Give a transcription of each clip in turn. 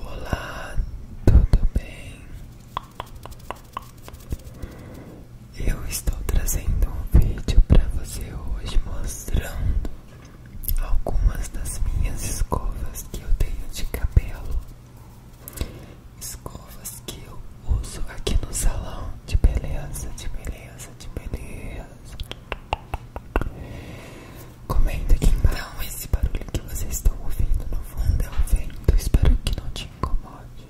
Olá, tudo bem? Eu estou trazendo um vídeo para você hoje mostrando algumas das minhas escovas que eu tenho de cabelo. Escovas que eu uso aqui no salão de beleza, de beleza. Comenta aqui Então, esse barulho que vocês estão ouvindo no fundo é o vento. Espero que não te incomode.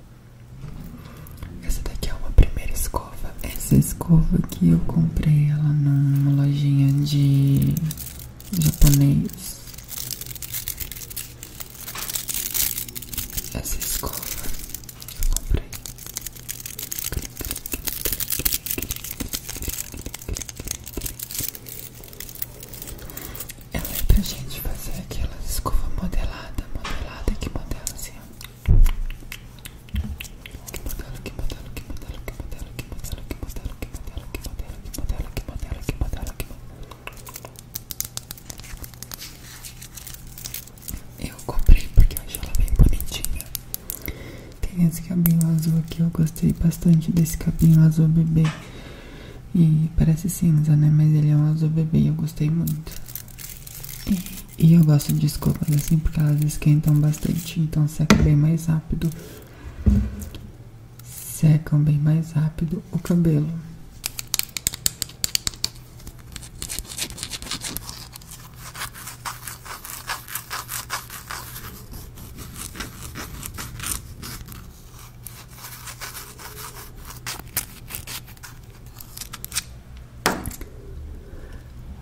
Essa daqui é uma primeira escova. Essa escova que eu comprei ela numa lojinha de japonês. Essa escova eu comprei. Ela é pra gente fazer aquela escova modelada, modelada, que modela assim, Que modelo, que modelo, que modelo, que modelo, que modelo, que modelo, que modelo, que modelo, que modelo, que modelo, que modelo, que modelo. Eu comprei porque eu achei ela bem bonitinha. Tem esse cabinho azul aqui, eu gostei bastante desse cabinho azul bebê. E parece cinza, né? Mas ele é um azul bebê eu gostei muito. E, eu gosto de escovas assim porque elas esquentam bastante, então seca bem mais rápido. Secam bem mais rápido o cabelo.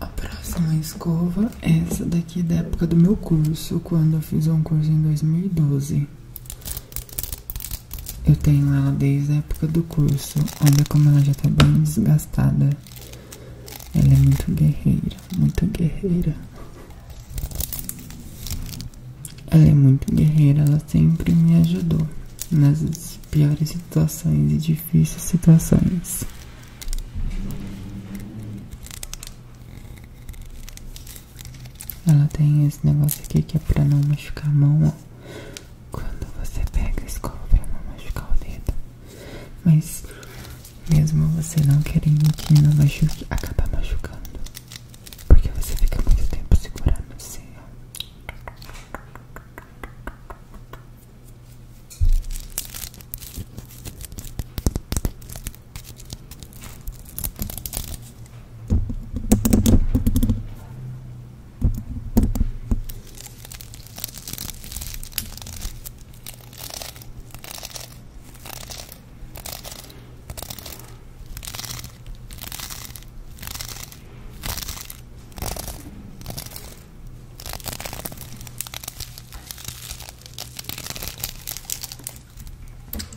A próxima escova é essa daqui da época do meu curso, quando eu fiz um curso em dois mil e doze. Eu tenho ela desde a época do curso. Olha como ela já tá bem desgastada. Ela é muito guerreira, muito guerreira. Ela é muito guerreira, ela sempre me ajudou nas piores situações e difíceis situações. Ela tem esse negócio aqui que é pra não machucar a mão, ó quando você pega a escola para não machucar o dedo. Mas mesmo você não querendo que não machuque, acaba machucando. Porque você fica muito tempo segurando assim,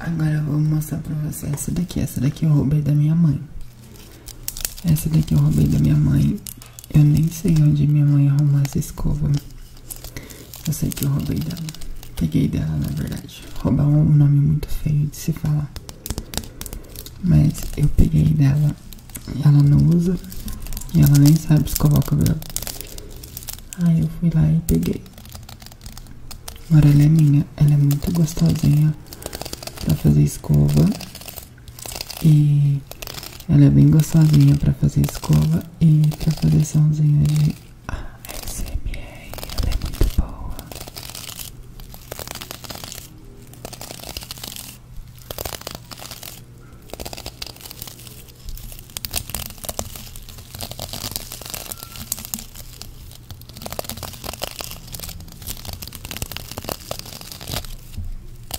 Agora eu vou mostrar para você essa daqui. Essa daqui eu roubei da minha mãe. Essa daqui eu roubei da minha mãe. Eu nem sei onde minha mãe arrumou essa escova. Eu sei que eu roubei dela. Peguei dela, na verdade. Roubar é um nome muito feio de se falar. Mas eu peguei dela. Ela não usa. E ela nem sabe escovar o cabelo. Aí eu fui lá e peguei. Agora ela é minha. Ela é muito gostosinha pra fazer escova. E ela é bem gostosinha pra fazer escova e pra fazer somzinho de ASMR. Ela é muito boa.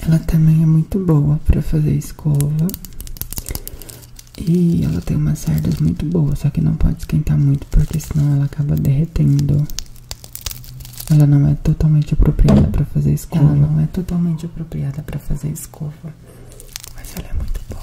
Ela também é muito boa para fazer escova. E ela tem umas cerdas muito boas, só que não pode esquentar muito porque senão ela acaba derretendo. Ela não é totalmente apropriada para fazer escova. não é totalmente apropriada para fazer escova, mas ela é muito boa.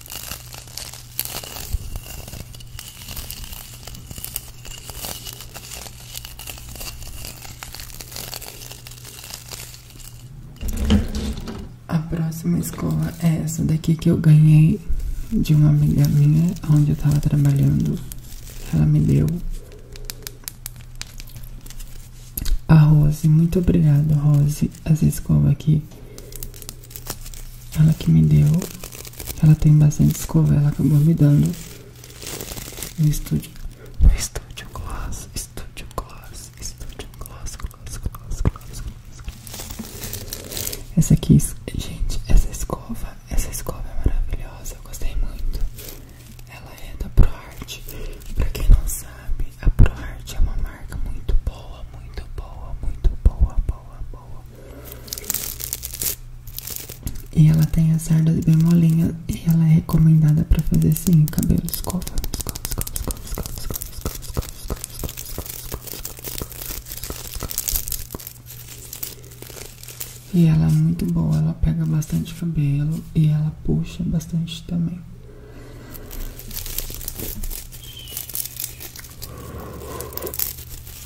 A próxima escola é essa daqui que eu ganhei de uma amiga minha, onde eu tava trabalhando. Ela me deu. A Rose, muito obrigado, Rose. As escolas aqui ela que me deu. Ela tem bastante escova, ela acabou me dando. No estúdio. No estúdio gloss, estúdio gloss, estúdio gloss, gloss, gloss, gloss, gloss. Essa aqui, gente, essa escova, essa escova é maravilhosa, eu gostei muito. Ela é da ProArt. Pra quem não sabe, a ProArt é uma marca muito boa, muito boa, muito boa, boa, boa, e ela tem as sardas bem molinhas e ela é recomendada para fazer assim, cabelo escova, escova, escova, escova, escova, escova, escova, escova, escova, escova, escova, escova, E ela é muito boa, ela pega bastante cabelo e ela puxa bastante também.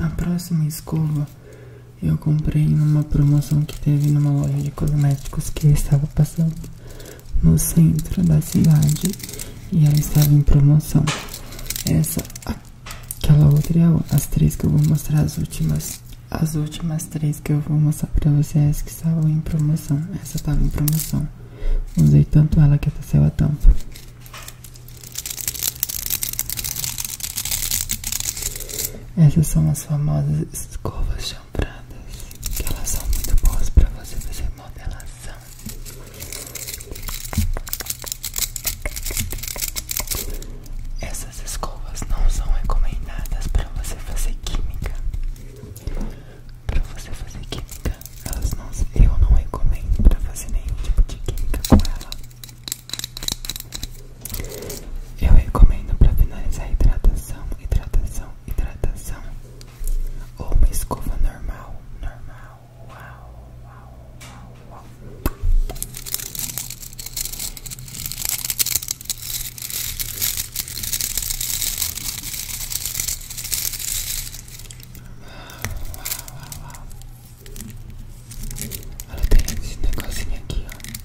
A próxima escova eu comprei numa promoção que teve numa loja de cosméticos que estava passando no centro da cidade e ela estava em promoção. Essa, aquela outra é as três que eu vou mostrar as últimas. As últimas três que eu vou mostrar para vocês que estavam em promoção. Essa estava em promoção. Usei tanto ela que até saiu a tampa. Essas são as famosas escovas que elas são muito boas para você fazer modelação. Essas escovas não são recomendadas para você fazer química. Para você fazer química, elas não, eu não recomendo para fazer nenhum tipo de química com ela. Eu recomendo para finalizar a hidratação, hidratação hidratação ou uma escova normal, normal. Uau, uau, uau, uau. Uau, tem esse negocinho aqui, ó.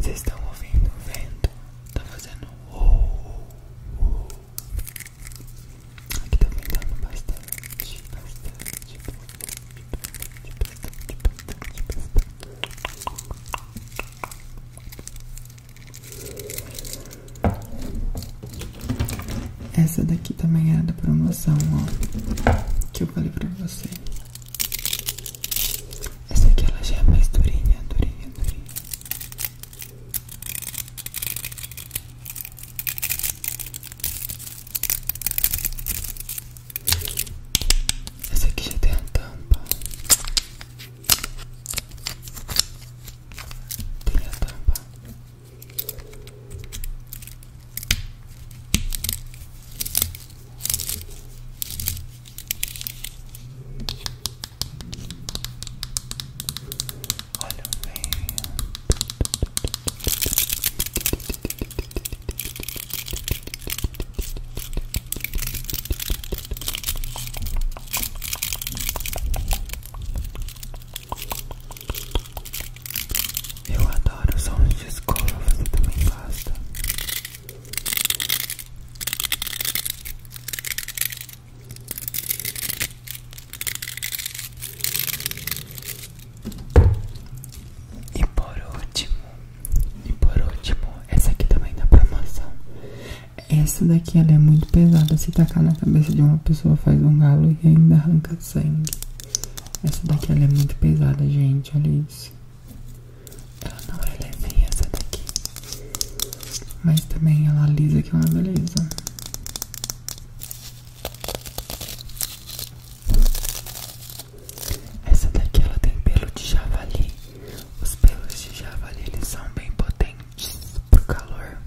Vocês estão ouvindo o vento? Tá fazendo oh, oh. Aqui tá ventando bastante, bastante, bastante, bastante, bastante, bastante, bastante. Essa daqui também era da promoção, ó, que eu falei pra vocês. Essa aqui ela já é mais durinha, durinha, durinha. Essa aqui já tem a tampa. Tem a tampa. Olha bem. Eu adoro o som de escova, você também gosta. E por último, e por último, essa aqui também da promoção. Essa daqui ela é muito pesada, se tacar na cabeça de uma pessoa faz um galo e ainda arranca sangue. Essa daqui ela é muito pesada, gente, olha isso. Ela não é leve essa daqui, mas também ela lisa que é uma beleza. Essa daqui ela tem pelo de javali. Os pelos de javali eles são bem potentes pro calor.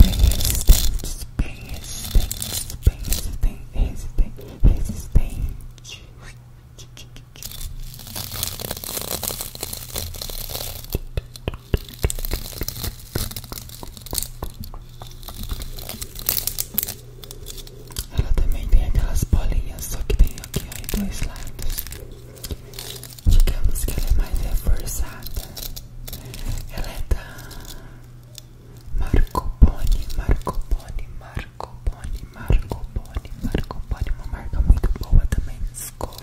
Bem resistentes, bem resistentes, bem resistentes, resistentes, resistentes. Ela também tem aquelas bolinhas, só que tem aqui ó, em dois lados. Digamos que ela é mais reforçada. Ela é da Marco Pone, Marco Pone, Marco Marco Boni, Marco Boni, Marco Boni, uma marca muito boa também escova.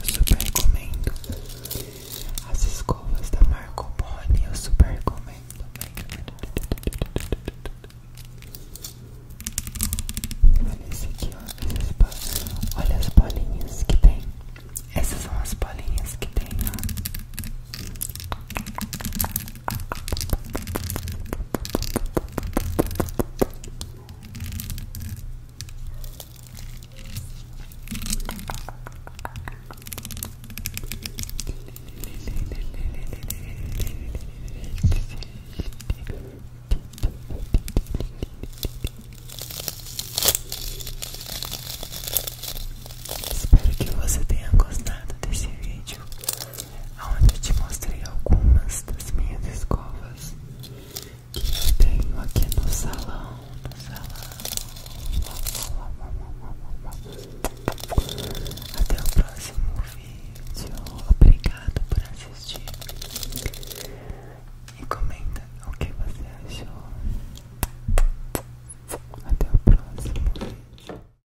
Eu super recomendo as escovas da Marco Boni, eu super recomendo. Olha esse aqui, ó. Olha as bolinhas que tem. Essas são as bolinhas que tem, ó. Espero que você tenha gostado desse vídeo onde eu te mostrei algumas das minhas escovas que eu tenho aqui no salão, Até o próximo vídeo. Obrigado por assistir. E comenta o que você achou. Até o próximo vídeo.